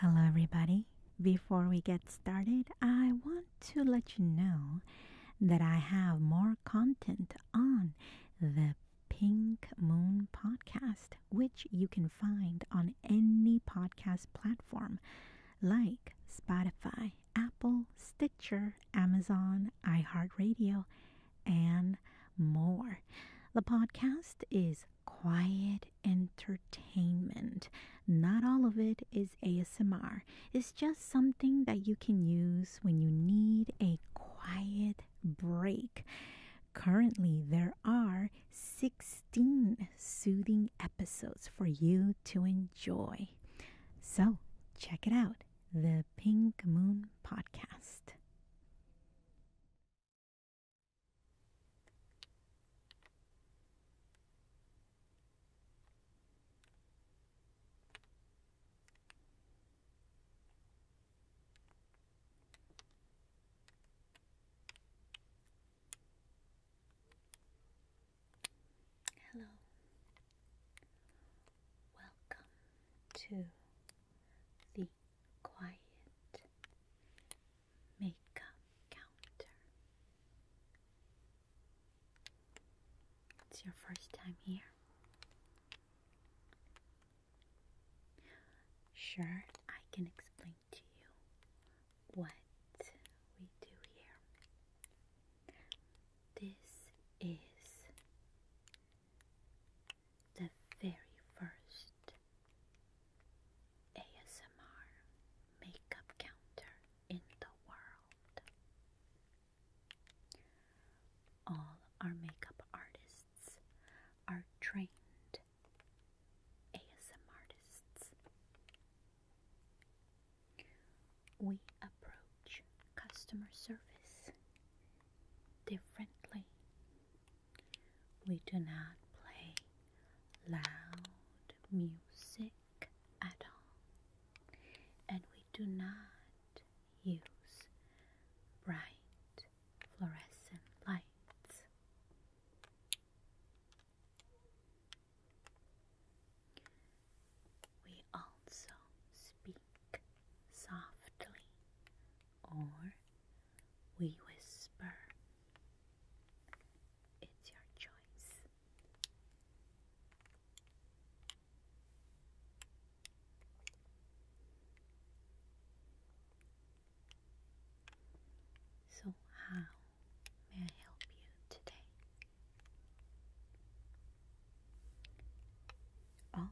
Hello, everybody. Before we get started, I want to let you know that I have more content on the Pink Moon podcast, which you can find on any podcast platform like Spotify, Apple, Stitcher, Amazon, iHeartRadio, and more. The podcast is quiet entertainment. Not all of it is ASMR, it's just something that you can use when you need a quiet break. Currently, there are 16 soothing episodes for you to enjoy. So, check it out the Pink Moon Podcast. Hello, welcome to the Quiet makeup counter. It's your first time here. Sure, I can explain to you what we do here. This is the very first ASMR makeup counter in the world. All our makeup artists are trained ASMR artists. We approach customer service differently we do not play loud music at all, and we do not use bright fluorescent lights. We also speak softly or we whisper. It's your choice. So, how may I help you today? Oh,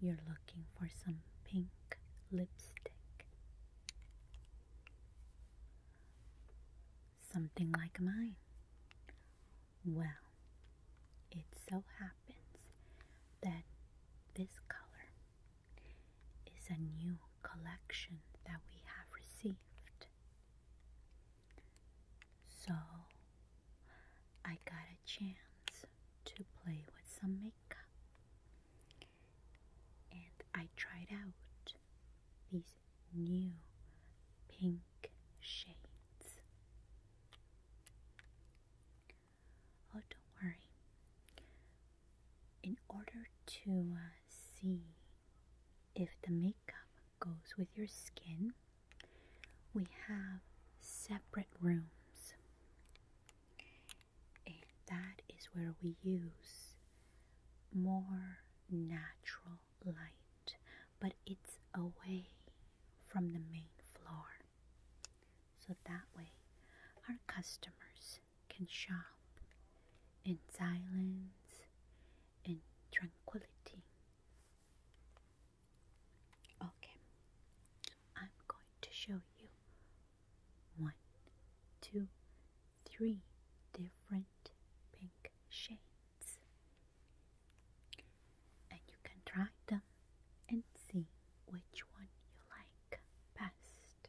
you're looking for some pink lipstick. Something like mine. Well, it so happens that this color is a new collection that we have received. So, I got a chance to play with some makeup and I tried out these new pink shades. Oh, don't worry. In order to uh, see if the makeup goes with your skin, we have separate rooms and that is where we use more natural light, but it's away from the main floor. So that way, our customers can shop in silence and tranquility. Okay, I'm going to show you one, two, three different pink shades. And you can try them and see which one you like best.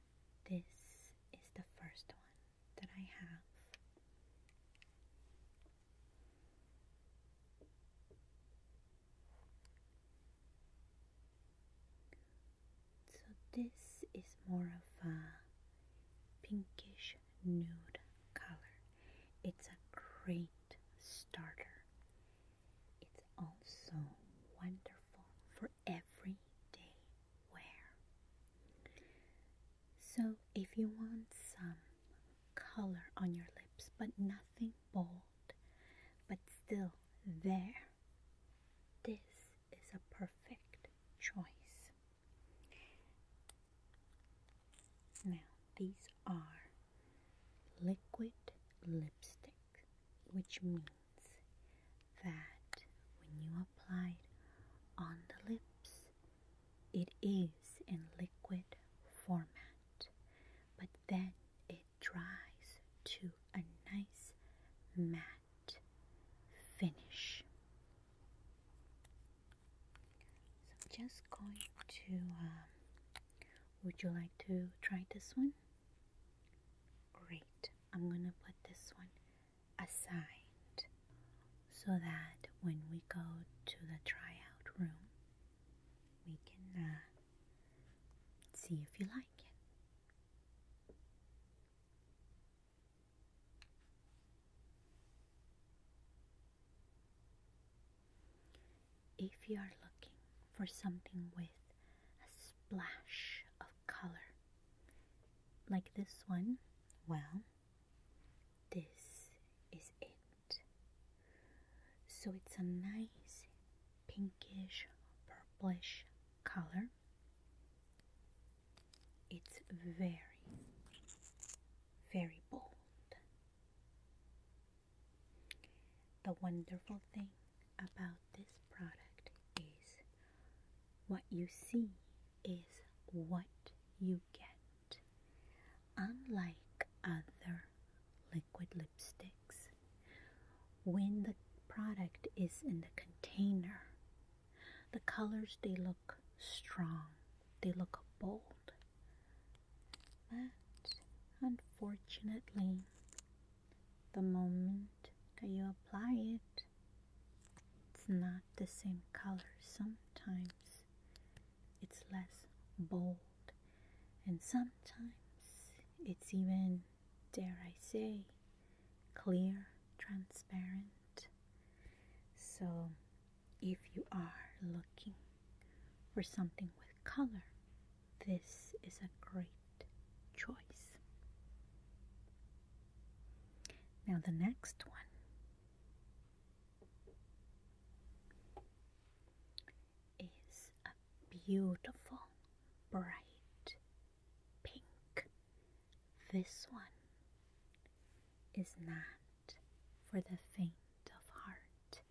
This is the first one that I have. So this is more of a pinkish nude color. It's a great starter. It's also wonderful for every everyday wear. So, if you want some color on your lips, but nothing bold, but still there, this is a perfect choice. Now, these are liquid lipstick, which means that when you apply it on the lips, it is in liquid format, but then it dries to a nice matte finish. So I'm just going to. Um, would you like to try this one? Great. I'm going to put this one aside so that when we go to the tryout room, we can uh, see if you like it. If you are looking for something with a splash of color. Like this one, well, this is it. So it's a nice pinkish purplish color. It's very, very bold. The wonderful thing about this product is what you see is what you get. Unlike other liquid lipsticks, when the product is in the container, the colors they look strong, they look bold. But unfortunately, the moment that you apply it, it's not the same color. Sometimes it's less bold, and sometimes it's even, dare I say, clear, transparent. So, if you are looking for something with color, this is a great choice. Now, the next one is a beautiful bright pink. This one is not for the faint of heart.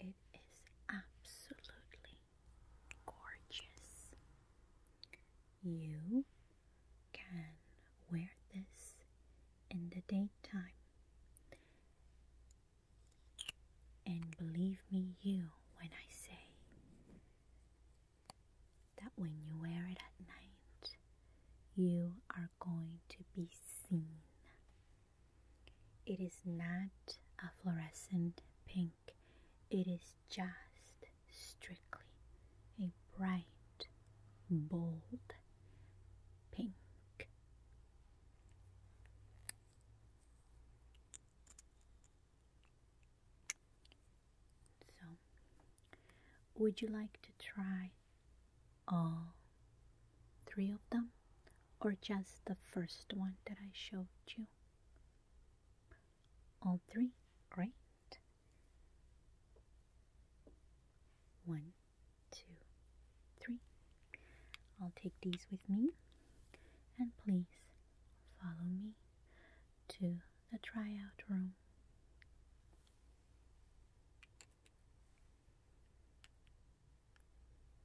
It is absolutely gorgeous. You can wear this in the daytime. And believe me, you, when I say that when you wear it at night, you are going to be seen. It is not a fluorescent pink it is just strictly a bright, bold pink. So, would you like to try all three of them or just the first one that I showed you? All three, right? One, two, three. I'll take these with me and please follow me to the tryout room.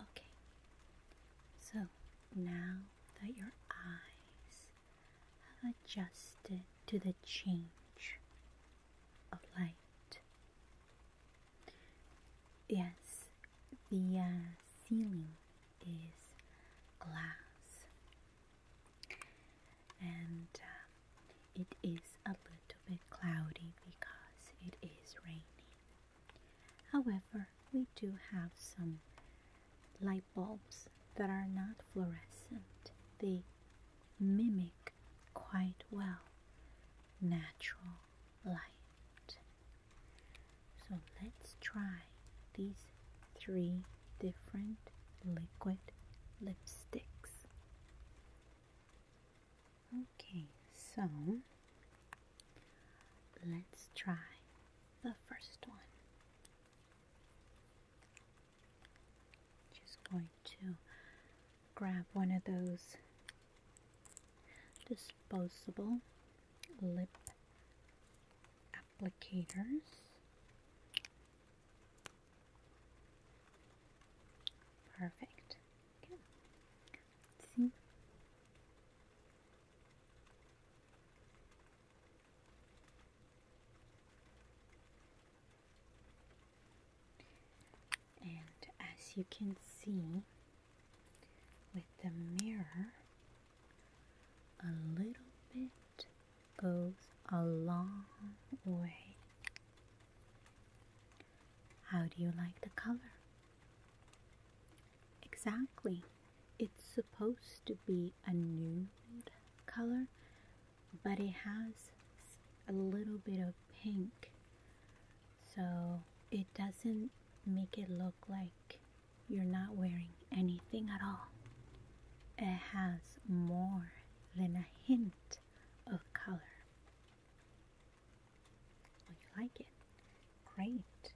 Okay, so now that your eyes have adjusted to the change of light, yes, the uh, ceiling is glass and um, it is a little bit cloudy because it is raining. However, we do have some light bulbs that are not fluorescent, they mimic quite well natural light. So let's try these three different liquid lipsticks. Okay, so let's try the first one. Just going to grab one of those disposable lip applicators. Perfect. see. And as you can see with the mirror, a little bit goes a long way. How do you like the color? Exactly. It's supposed to be a nude color, but it has a little bit of pink. So it doesn't make it look like you're not wearing anything at all. It has more than a hint of color. Well, you like it? Great.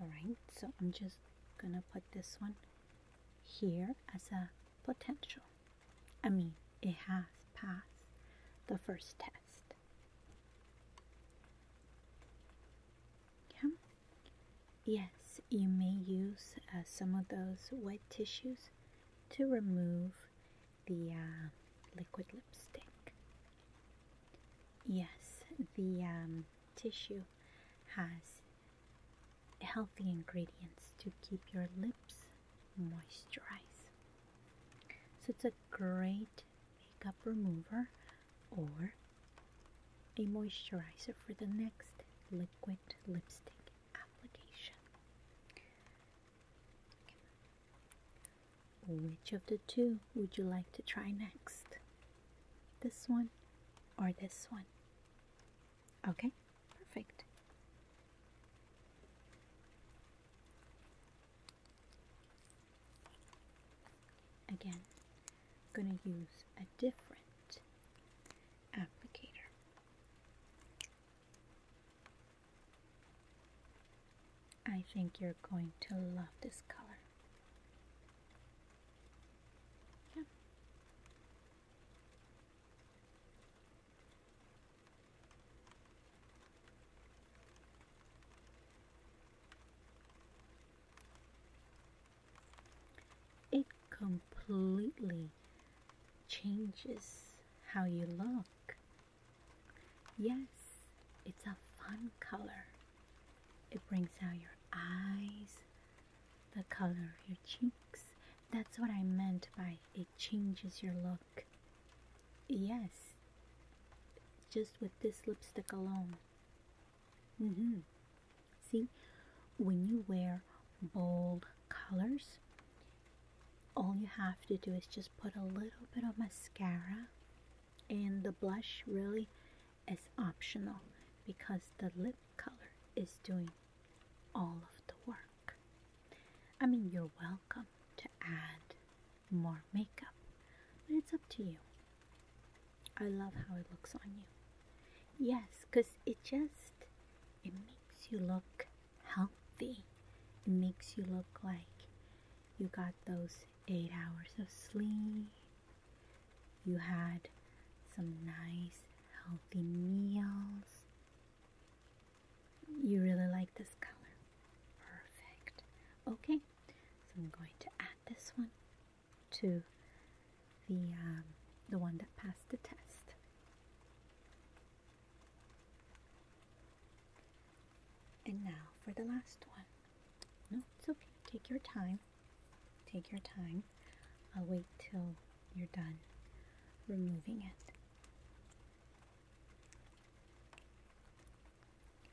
Alright, so I'm just gonna put this one here as a potential. I mean, it has passed the first test. Yeah. Yes, you may use uh, some of those wet tissues to remove the uh, liquid lipstick. Yes, the um, tissue has healthy ingredients to keep your lips moisturized. So it's a great makeup remover or a moisturizer for the next liquid lipstick application. Which of the two would you like to try next? This one or this one? Okay, perfect. Again, I'm going to use a different applicator. I think you're going to love this color. It completely changes how you look. Yes, it's a fun color. It brings out your eyes, the color of your cheeks. That's what I meant by it changes your look. Yes, just with this lipstick alone, -hmm. See, when you wear bold colors, all you have to do is just put a little bit of mascara, and the blush really is optional because the lip color is doing all of the work. I mean, you're welcome to add more makeup, but it's up to you. I love how it looks on you. Yes, because it just, it makes you look healthy. It makes you look like you got those eight hours of sleep. You had some nice, healthy meals. You really like this color. Perfect. Okay, so I'm going to add this one to the, um, the one that passed the test. And now for the last one. No, it's okay. Take your time. Take your time. I'll wait till you're done removing it.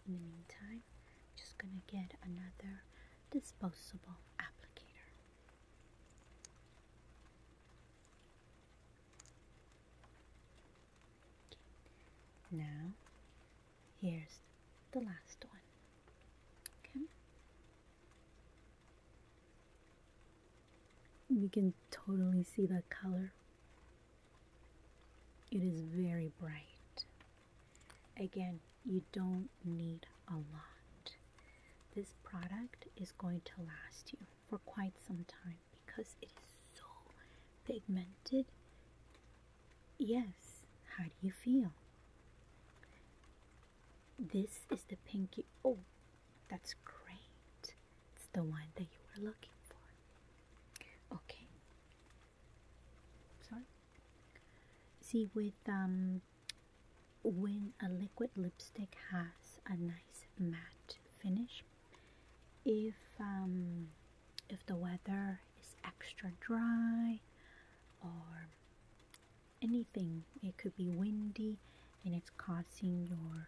In the meantime, just gonna get another disposable applicator. Now, here's the last one. Okay. You can totally see the color. It is very bright. Again, you don't need a lot. This product is going to last you for quite some time because it is so pigmented. Yes, how do you feel? This is the pinky. Oh, that's great. It's the one that you were looking for. Okay. Sorry. See, with um, when a liquid lipstick has a nice matte finish, if um, if the weather is extra dry or anything, it could be windy and it's causing your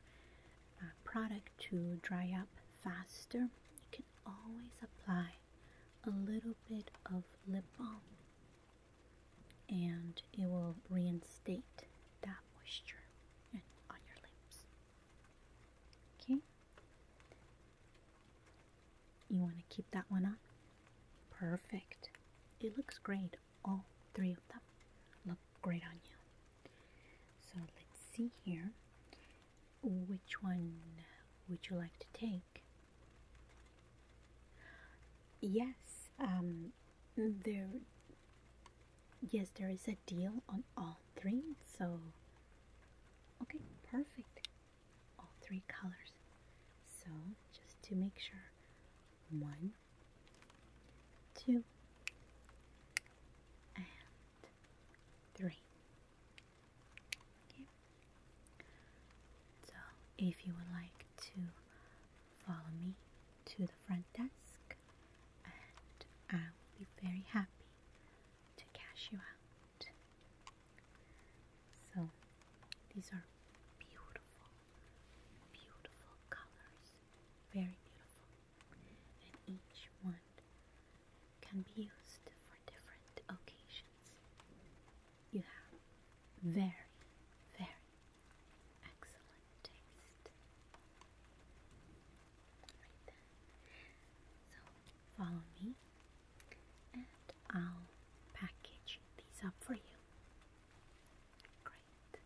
uh, product to dry up faster. You can always apply a little bit of lip balm and it will reinstate that moisture on your lips. Okay? You want to keep that one on? Perfect. It looks great. All three of them look great on you. So let's see here. Which one would you like to take? Yes, um, there. Yes, there is a deal on all three. So, okay, perfect. All three colors. So, just to make sure, one, two, and three. So, if you would like to follow me to the front desk, and I will be very happy to cash you out. So, these are beautiful, beautiful colors, very beautiful, and each one can be used for different occasions. You have very, very excellent taste. So follow me and I'll package these up for you. Great.